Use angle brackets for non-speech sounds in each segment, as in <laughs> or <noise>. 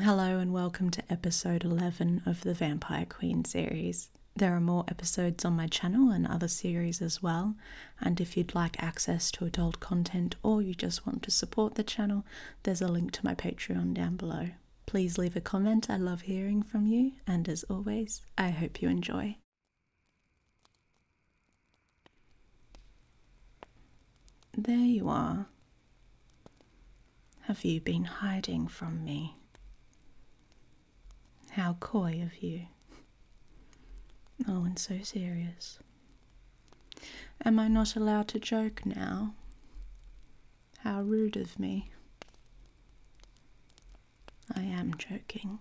Hello, and welcome to episode 11 of the Vampire Queen series. There are more episodes on my channel and other series as well, and if you'd like access to adult content or you just want to support the channel, there's a link to my Patreon down below. Please leave a comment, I love hearing from you, and as always, I hope you enjoy. There you are, have you been hiding from me? How coy of you. Oh, and so serious. Am I not allowed to joke now? How rude of me. I am joking.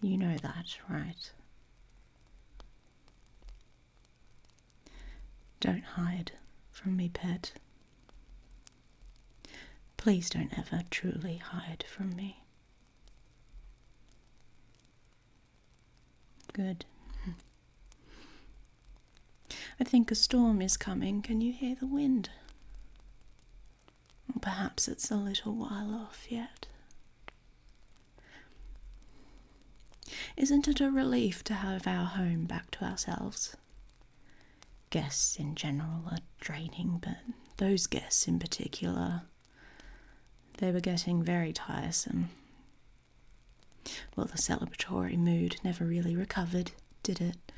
You know that, right? Don't hide from me, pet. Please don't ever truly hide from me. Good. I think a storm is coming. Can you hear the wind? perhaps it's a little while off yet. Isn't it a relief to have our home back to ourselves? Guests in general are draining, but those guests in particular, they were getting very tiresome. Well, the celebratory mood never really recovered, did it?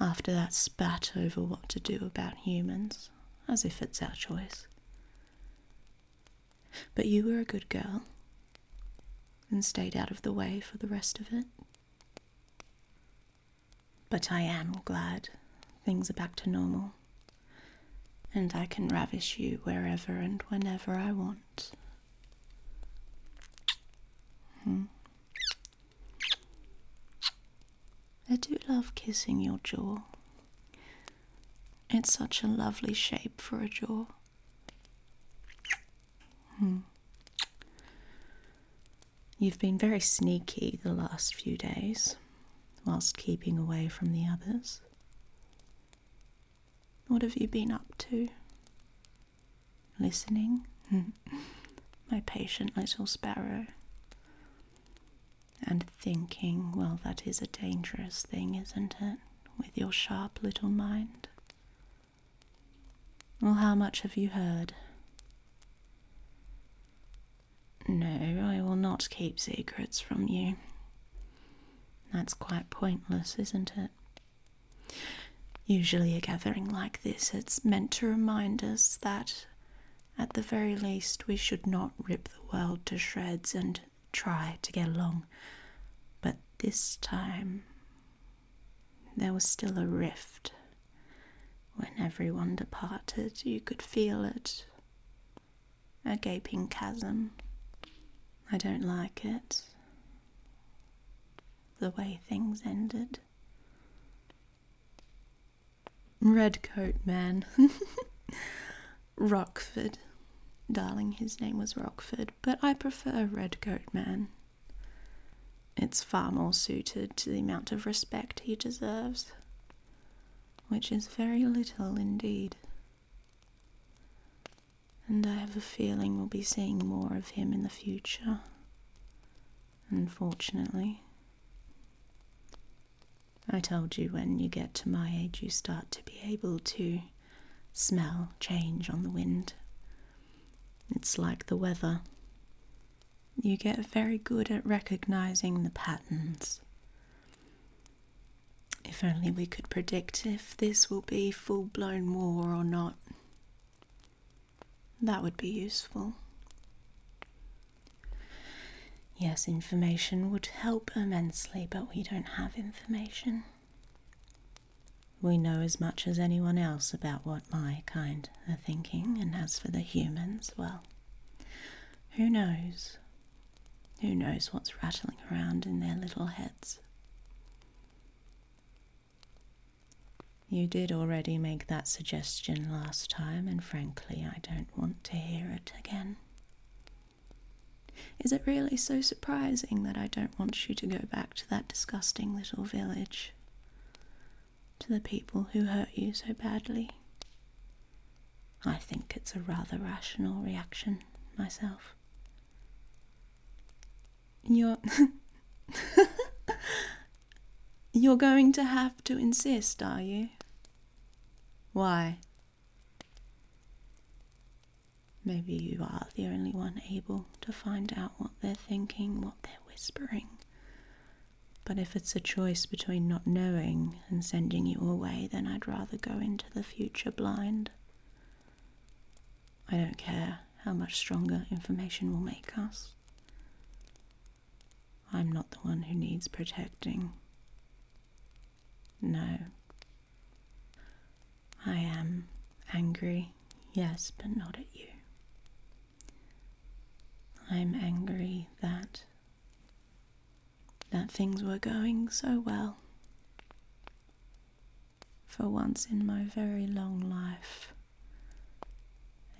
After that spat over what to do about humans, as if it's our choice. But you were a good girl and stayed out of the way for the rest of it. But I am glad things are back to normal, and I can ravish you wherever and whenever I want. Hmm. I do love kissing your jaw. It's such a lovely shape for a jaw. Hmm. You've been very sneaky the last few days, whilst keeping away from the others. What have you been up to? Listening? <laughs> My patient little sparrow and thinking, well, that is a dangerous thing, isn't it, with your sharp little mind? Well, how much have you heard? No, I will not keep secrets from you. That's quite pointless, isn't it? Usually, a gathering like this, it's meant to remind us that at the very least, we should not rip the world to shreds and try to get along. But this time, there was still a rift. When everyone departed, you could feel it a gaping chasm. I don't like it. The way things ended. Redcoat man. <laughs> Rockford. Darling, his name was Rockford, but I prefer Redcoat man. It's far more suited to the amount of respect he deserves, which is very little indeed. And I have a feeling we'll be seeing more of him in the future unfortunately. I told you when you get to my age, you start to be able to smell change on the wind. It's like the weather. You get very good at recognizing the patterns. If only we could predict if this will be full blown war or not. That would be useful. Yes, information would help immensely, but we don't have information. We know as much as anyone else about what my kind are thinking, and as for the humans, well, who knows? Who knows what's rattling around in their little heads? You did already make that suggestion last time, and frankly, I don't want to hear it again. Is it really so surprising that I don't want you to go back to that disgusting little village? To the people who hurt you so badly? I think it's a rather rational reaction myself. You're. <laughs> You're going to have to insist, are you? Why? Maybe you are the only one able to find out what they're thinking, what they're whispering. But if it's a choice between not knowing and sending you away, then I'd rather go into the future blind. I don't care how much stronger information will make us. I'm not the one who needs protecting. No. I am angry, yes, but not at you. I'm angry that that things were going so well for once in my very long life,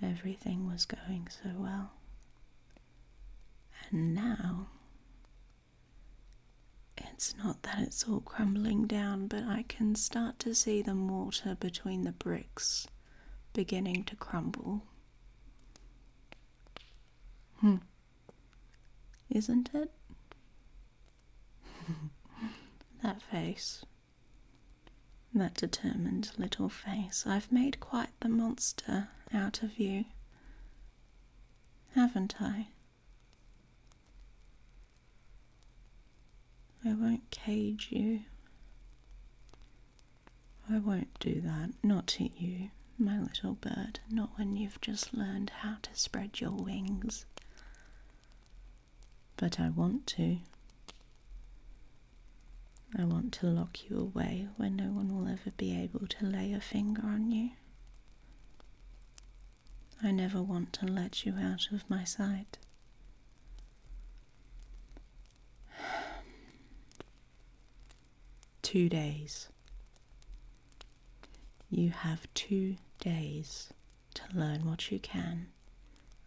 everything was going so well. And now, it's not that it's all crumbling down, but I can start to see the mortar between the bricks beginning to crumble. Hmm. Isn't it? <laughs> that face. That determined little face. I've made quite the monster out of you. Haven't I? I won't cage you. I won't do that, not to you, my little bird, not when you've just learned how to spread your wings but I want to. I want to lock you away where no one will ever be able to lay a finger on you. I never want to let you out of my sight. <sighs> Two days. You have two days to learn what you can,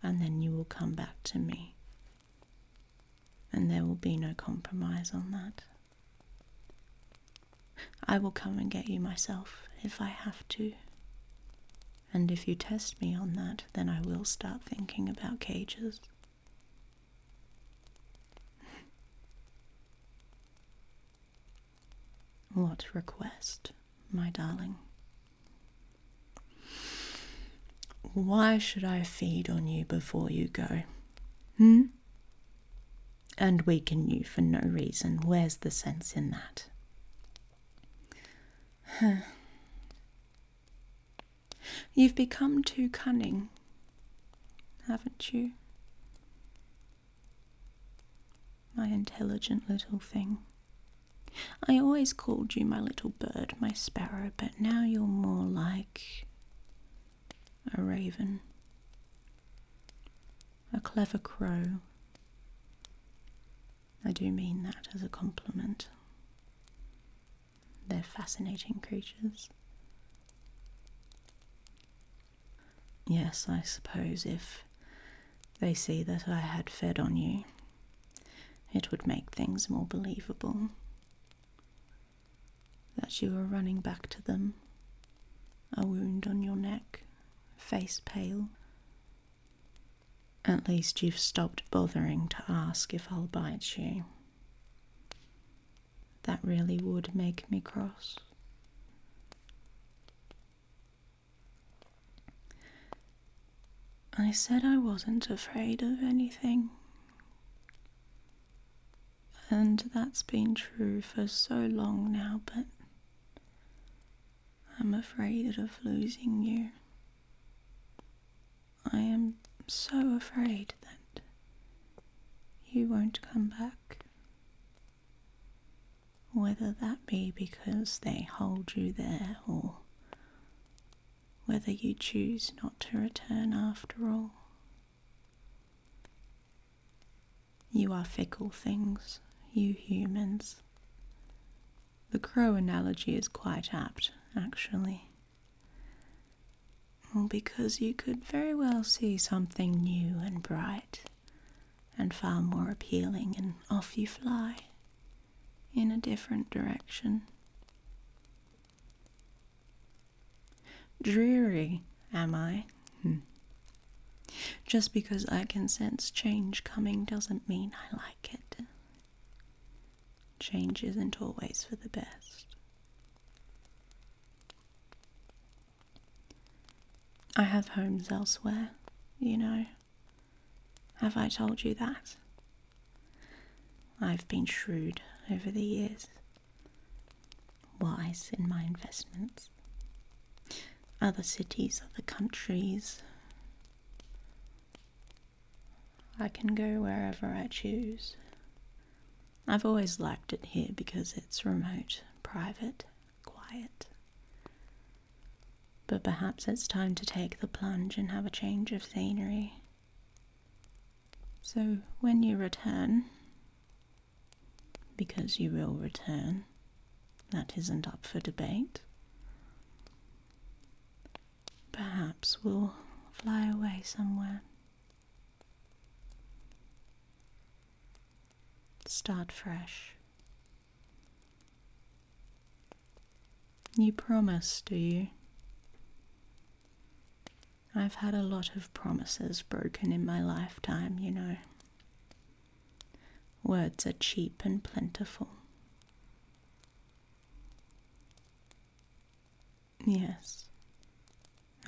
and then you will come back to me. And there will be no compromise on that. I will come and get you myself if I have to. And if you test me on that, then I will start thinking about cages. What request, my darling? Why should I feed on you before you go? Hmm? And weaken you for no reason. Where's the sense in that? You've become too cunning haven't you? My intelligent little thing. I always called you my little bird, my sparrow, but now you're more like a raven, a clever crow. I do mean that as a compliment. They're fascinating creatures. Yes, I suppose if they see that I had fed on you, it would make things more believable. That you were running back to them, a wound on your neck, face pale. At least you've stopped bothering to ask if I'll bite you that really would make me cross. I said I wasn't afraid of anything. And that's been true for so long now, but I'm afraid of losing you. I am so afraid that you won't come back. Whether that be because they hold you there or whether you choose not to return after all. You are fickle things, you humans. The crow analogy is quite apt, actually because you could very well see something new and bright and far more appealing, and off you fly in a different direction. Dreary, am I? Hmm. Just because I can sense change coming doesn't mean I like it change isn't always for the best. I have homes elsewhere, you know. Have I told you that? I've been shrewd over the years, wise in my investments. Other cities, other countries, I can go wherever I choose. I've always liked it here because it's remote, private, quiet. But perhaps it's time to take the plunge and have a change of scenery. So when you return, because you will return, that isn't up for debate. Perhaps we'll fly away somewhere. Start fresh. You promise, do you? I've had a lot of promises broken in my lifetime, you know. Words are cheap and plentiful. Yes,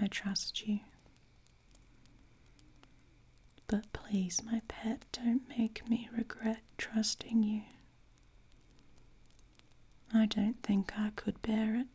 I trust you. But please, my pet, don't make me regret trusting you. I don't think I could bear it.